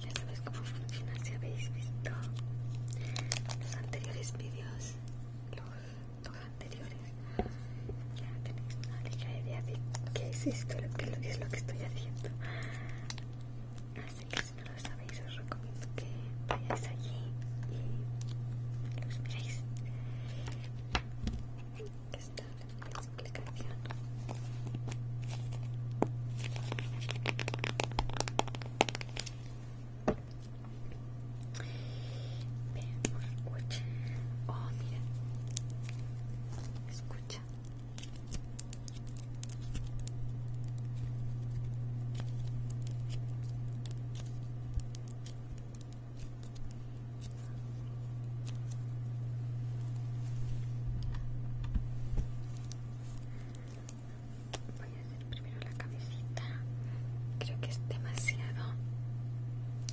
ya sabes cómo funciona si habéis visto los anteriores vídeos los dos anteriores ya tenéis una ligera idea de qué es esto lo que, es lo que estoy haciendo así que si no lo sabéis os recomiendo que vayáis allí y los miréis está la explicación Veamos, escucha. Oh, mira. Escucha. Voy a hacer primero la cabecita. Creo que es demasiado.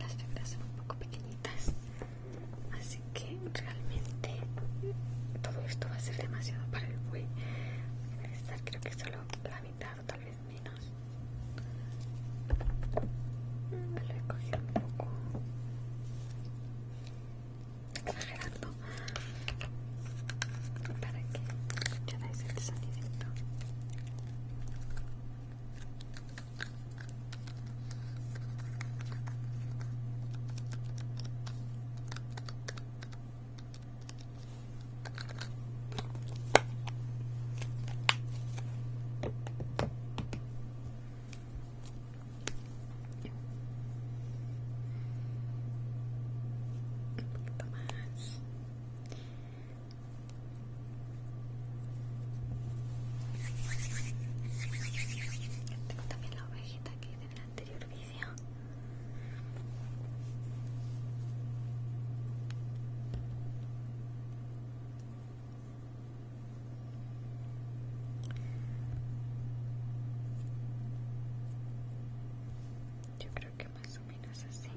Las febras son un poco pequeñitas. Así que realmente todo esto va a ser demasiado para el buey. a estar creo que solo la mitad o tal vez menos. Lo he cogido un poco exagerando para que escucharais este el sonidito un poquito más. Tengo también la ovejita que hice en anterior video yo creo que más o menos así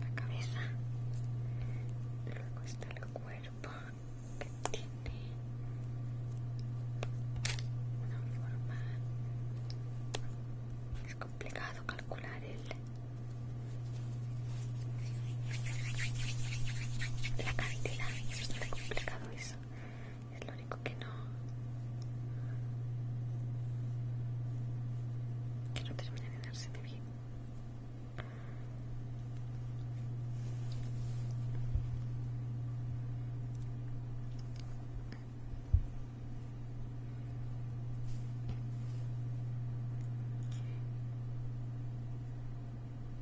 la cabeza luego está el cuerpo que tiene una forma es complicado calcular el la cantidad es complicado eso es lo único que no que no termina de darse de bien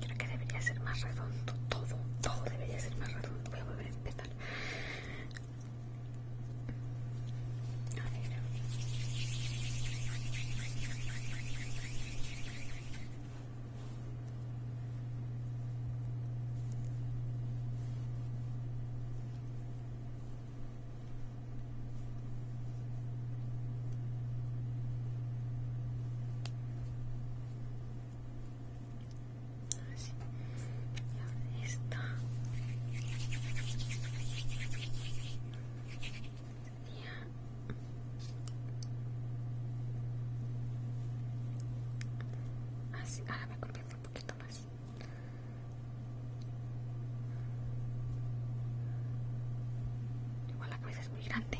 Creo que debería ser más redondo, todo, todo debería ser más redondo. Voy a volver a empezar. Así. ahora ahora me conviene un poquito más. Igual la cabeza es muy grande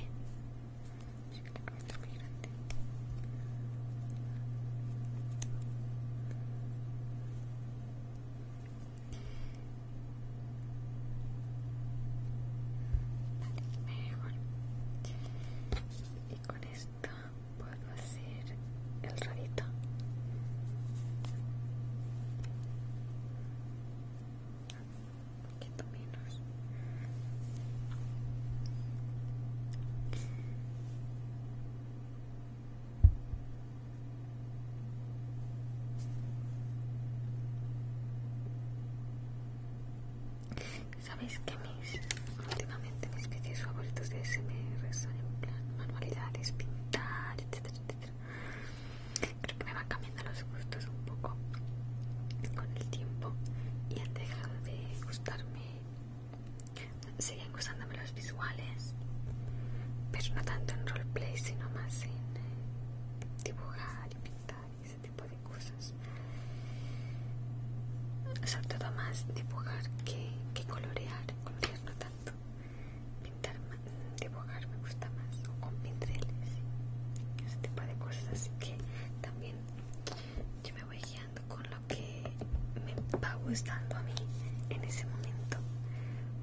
y con esto puedo hacer el rabito un poquito menos Sabéis que mis últimamente mis vídeos favoritos de SMR son en plan manualidades, pintar, etcétera, etcétera creo que me van cambiando los gustos un poco con el tiempo y han dejado de gustarme siguen gustándome los visuales pero no tanto en roleplay sino más en eh, dibujar y pintar ese tipo de cosas sobre todo más dibujar que, colorear colorear no tanto pintar dibujar me gusta más o con y ese tipo de cosas así que también yo me voy guiando con lo que me va gustando a mí en ese momento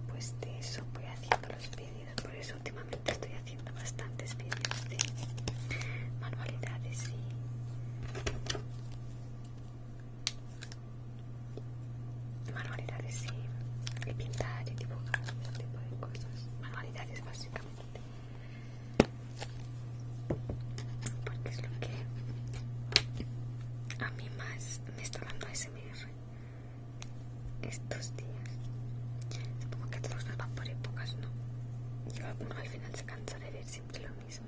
pues de eso voy haciendo los vídeos por eso últimamente estoy haciendo bastantes vídeos de manualidades y manualidades y, pintar y dibujar ese tipo de cosas manualidades básicamente porque es lo que a mí más me está dando SMR estos días supongo que todos nos van por épocas no yo alguno al final se cansa de ver siempre lo mismo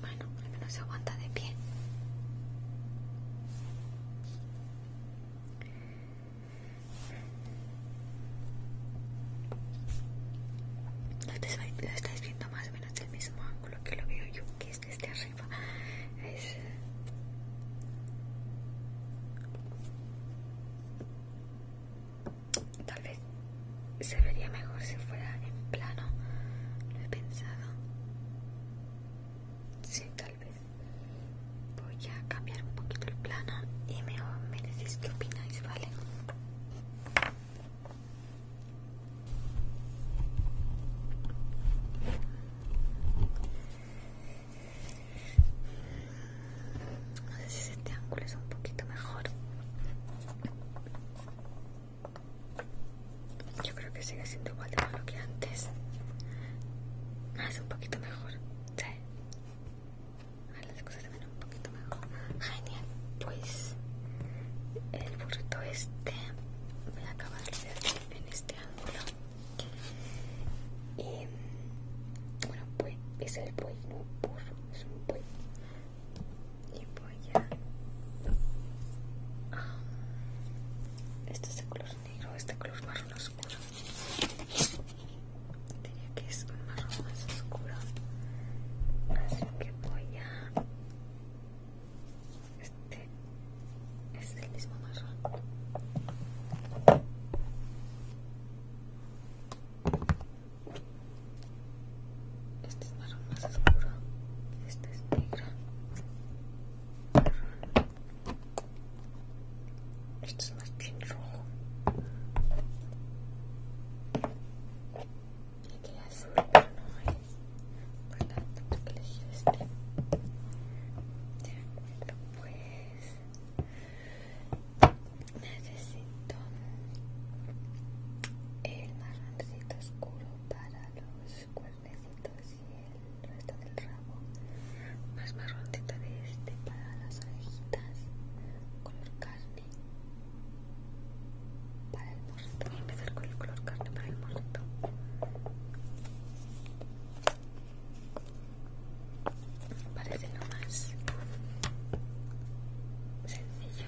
Bueno, al menos se aguanta de pie. Lo estáis, viendo más o menos del mismo ángulo que lo veo yo, que es este arriba. Eh, tal vez se vería mejor si fuera en plano lo he pensado sí tal vez voy a cambiar un poquito el plano y me, me decís qué opináis vale no sé si este ángulo es un poquito mejor. Yo creo que sigue siendo igual de malo que antes. Ah, es un poquito mejor. Sí. Ah, las cosas se ven un poquito mejor. Genial. Pues el burrito este voy a acabar de hacer en este ángulo. Y bueno pues es el buey no un burro es un buey y voy a ah, este es de color negro este color marrón oscuro diría que es un marrón más oscuro así que voy a este es el mismo marrón. Este es marrón más oscuro. Este es negro. Este es más bien rojo. Y aquí azul, bueno, Tengo que elegir este. pues necesito el marroncito oscuro para los cuernecitos y el resto del rabo. Más marroncito de este para las orejitas, color carne. Para el morrito, voy a empezar con el color carne para el morrito. Parece no más sencillo.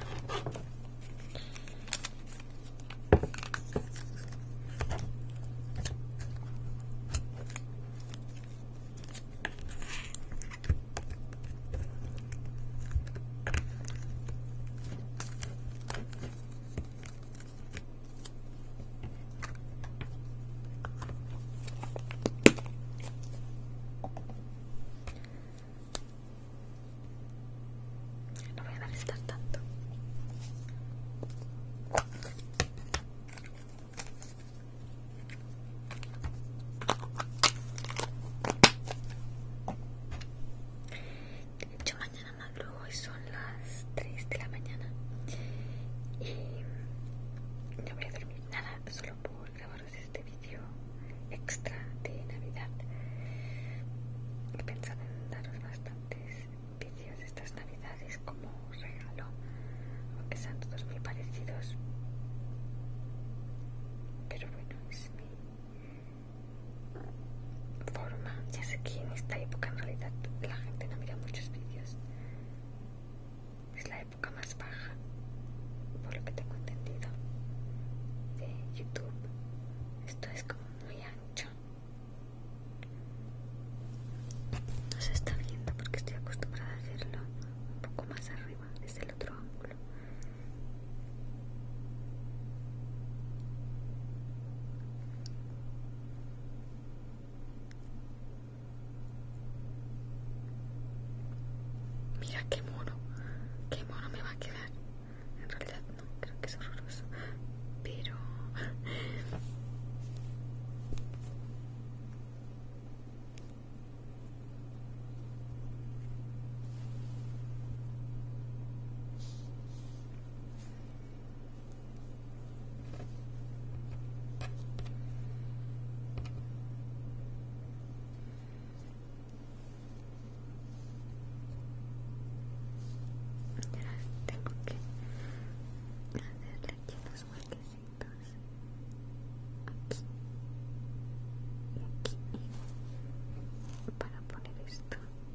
No voy a molestar tanto. Yo mañana hoy son las 3 de la mañana y no voy a dormir nada solo por grabaros este vídeo extra de Navidad. He pensado en daros bastantes vídeos de estas Navidades como regalo, aunque sean todos muy parecidos. Pero bueno, es mi forma. Ya sé que en esta época en realidad la gente no mira muchos vídeos. Es la época más baja, por lo que tengo entendido, de YouTube. Esto es como muy ancho. No se está viendo porque estoy acostumbrada a hacerlo un poco más arriba, desde el otro ángulo. Mira qué mono, qué mono me va a quedar. En realidad no, creo que es horroroso. Pero... Ya tengo que hacerle aquí unos huequecitos. Aquí y aquí para poner esto.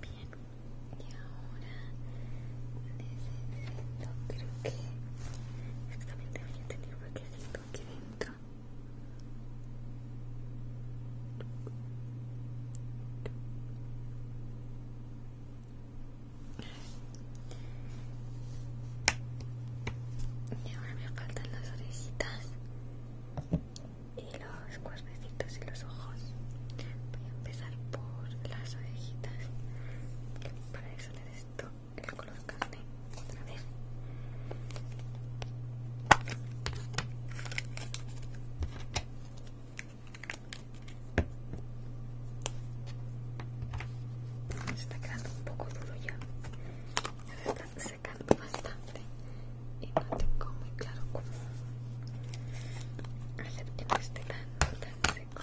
Bien, y ahora no creo que exactamente había a tener un siento aquí dentro y ahora me faltan las orejitas y los cuernecitos y los ojos voy a empezar por las orejitas para eso esto el color carne otra vez se está quedando un poco duro ya se está secando bastante y no tengo muy claro cómo hacer que no esté tan seco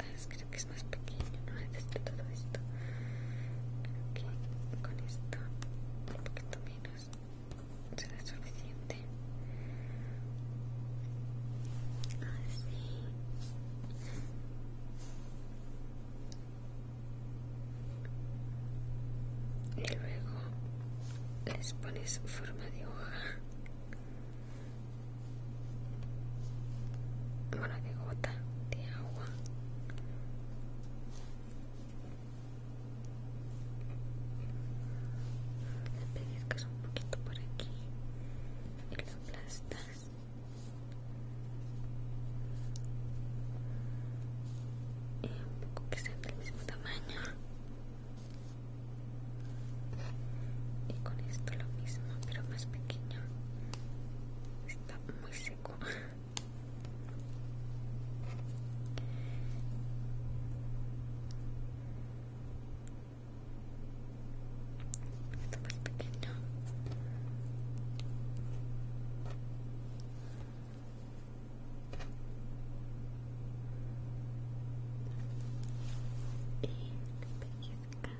Ah, creo que es más pequeño no necesito este todo esto creo que con esto un poquito menos será suficiente así ah, y luego les pones forma de hoja Ahora que gota de agua. Le pellizcas un poquito por aquí y lo aplastas. Y un poco que sea del mismo tamaño. Y con esto lo mismo, pero más pequeño muy seco esto muy pequeño y la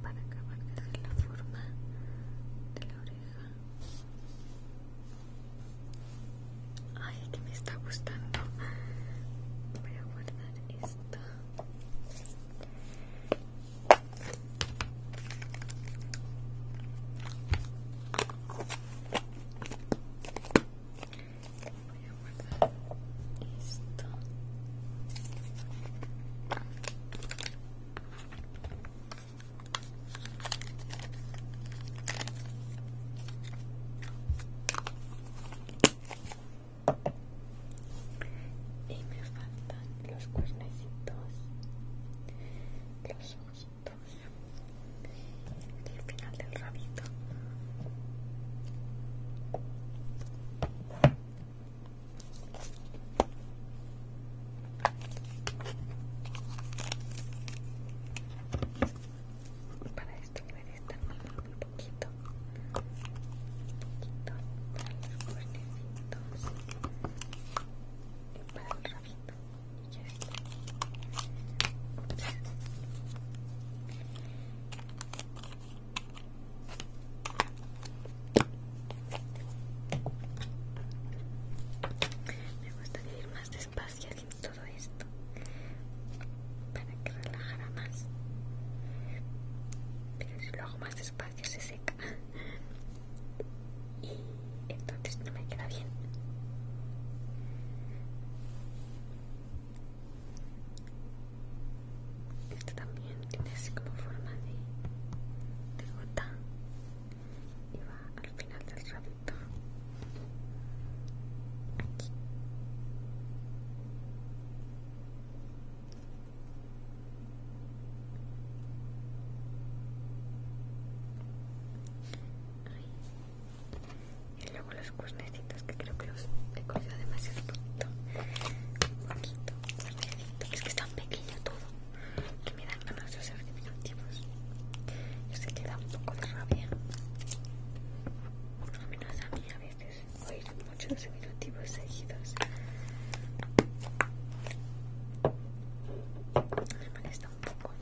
para acabar de la forma de la oreja ay que me está gustando voy a guardar esto Voy a guardar esto. Y me faltan los cuernecitos, los ojos y el final del rabito para esto debería estar muy, muy poquito poquito para los cuernecitos y para el rabito me gusta ir más despacio haciendo todo esto para que relajara más pero si lo hago más despacio se seca y entonces no me queda bien esto también tiene así como forma de, de gota y va al final del rabito y luego los cuernecitos que creo que los he cogido demasiado poquito. poquito, porque Es que es tan pequeño todo que me dan ganas de hacer diminutivos. y se que un poco de rabia. Por lo menos a mí a veces oír muchos diminutivos seguidos. Me molesta un poco.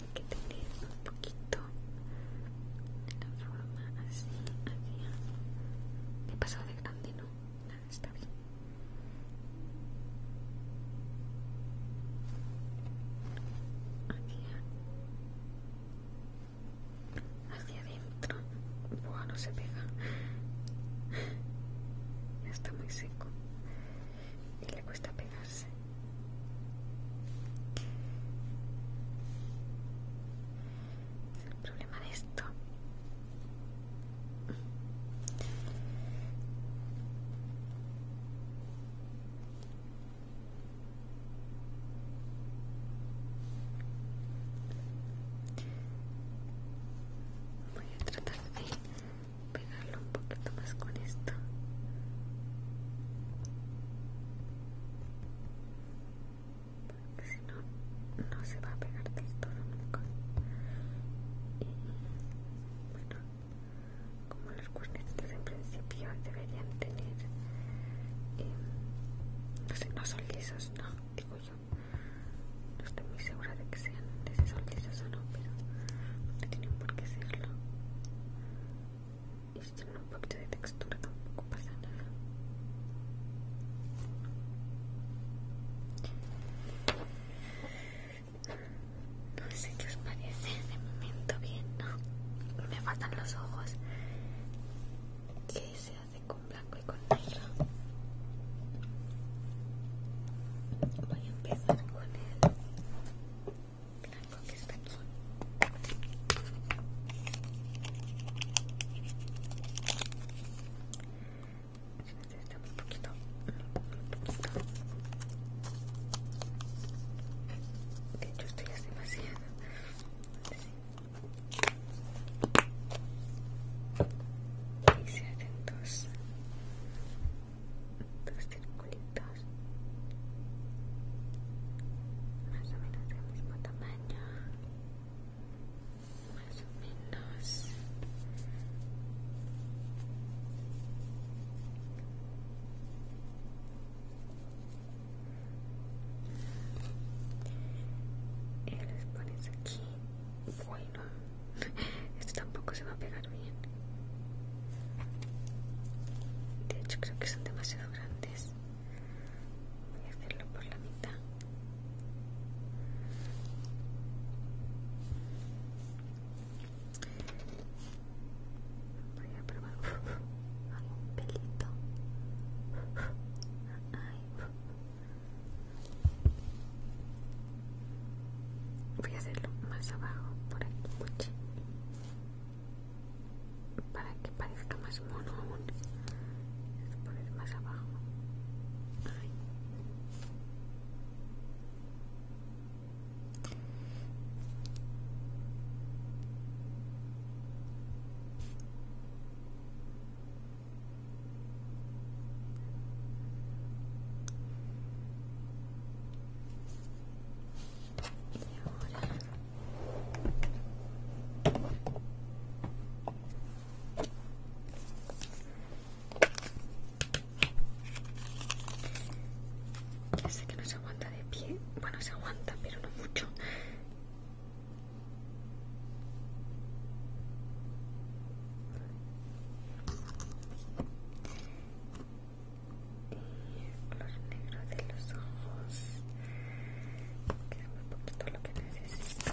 Hay que tener un poquito de la forma así hacia he pasado de grande no nada está bien hacia hacia adentro bueno, se pega. está muy seco. Y le cuesta pegarse. Es el problema de esto voy a tratar de pegarlo un poquito más con esto porque si no no se va a pegar del todo nunca y bueno como los cuernitos en principio deberían tener eh, no sé no son lisos no digo yo no estoy muy segura de que sean desesoltizas o no, pero no tienen por qué serlo. Y si tienen un poquito de textura tampoco pasa nada. No sé qué os parece, de momento bien, ¿no? Me faltan los ojos. qué con blanco y con negro voy a empezar con el blanco que está aquí necesitamos un poquito un poquito de hecho esto ya es demasiado sí y se hacen dos, dos circulitos más o menos del mismo tamaño más o menos y los pones aquí esto tampoco se va a pegar bien. De hecho, creo que son demasiado grandes. Voy a hacerlo por la mitad. Voy a probar algún pelito. voy a hacerlo más abajo por aquí para que parezca más mono aún a poner más abajo y ahora ya sé que no se aguanta de pie, bueno se aguanta pero no mucho y color negro de los ojos que es muy poquito lo que necesito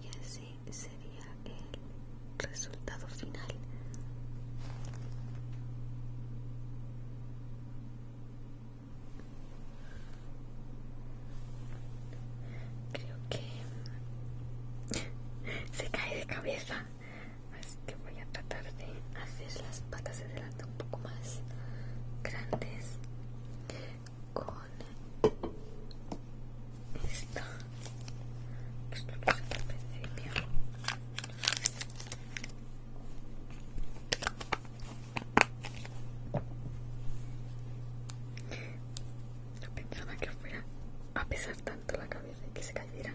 y así sería el resultado final creo que se cae de cabeza que voy a tratar de hacer las patas de delante un poco más grandes con esta esto lo se al principio no pensaba que fuera a pesar tanto la cabeza y que se cayera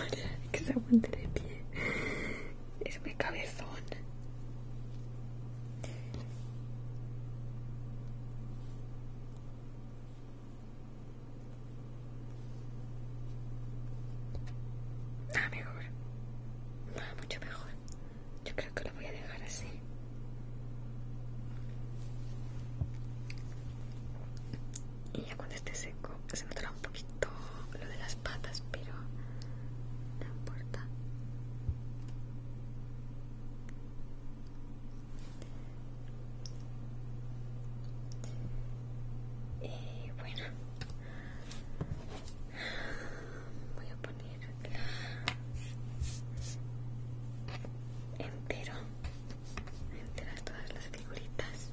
Ay, que se aguante de pie. Es mi cabezón. Ah, mejor. mucho mejor. Yo creo que lo voy a dejar así y ya cuando esté seco se me notará un poquito lo de las patas pero no importa y eh, bueno voy a poner entero enteras todas las figuritas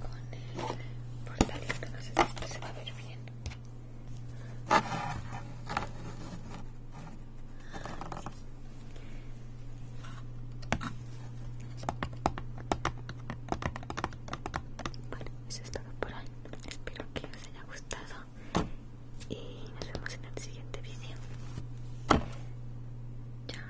con el portalito no sé si esto se va a ver bien bueno eso es todo por hoy espero que os haya gustado y nos vemos en el siguiente vídeo chao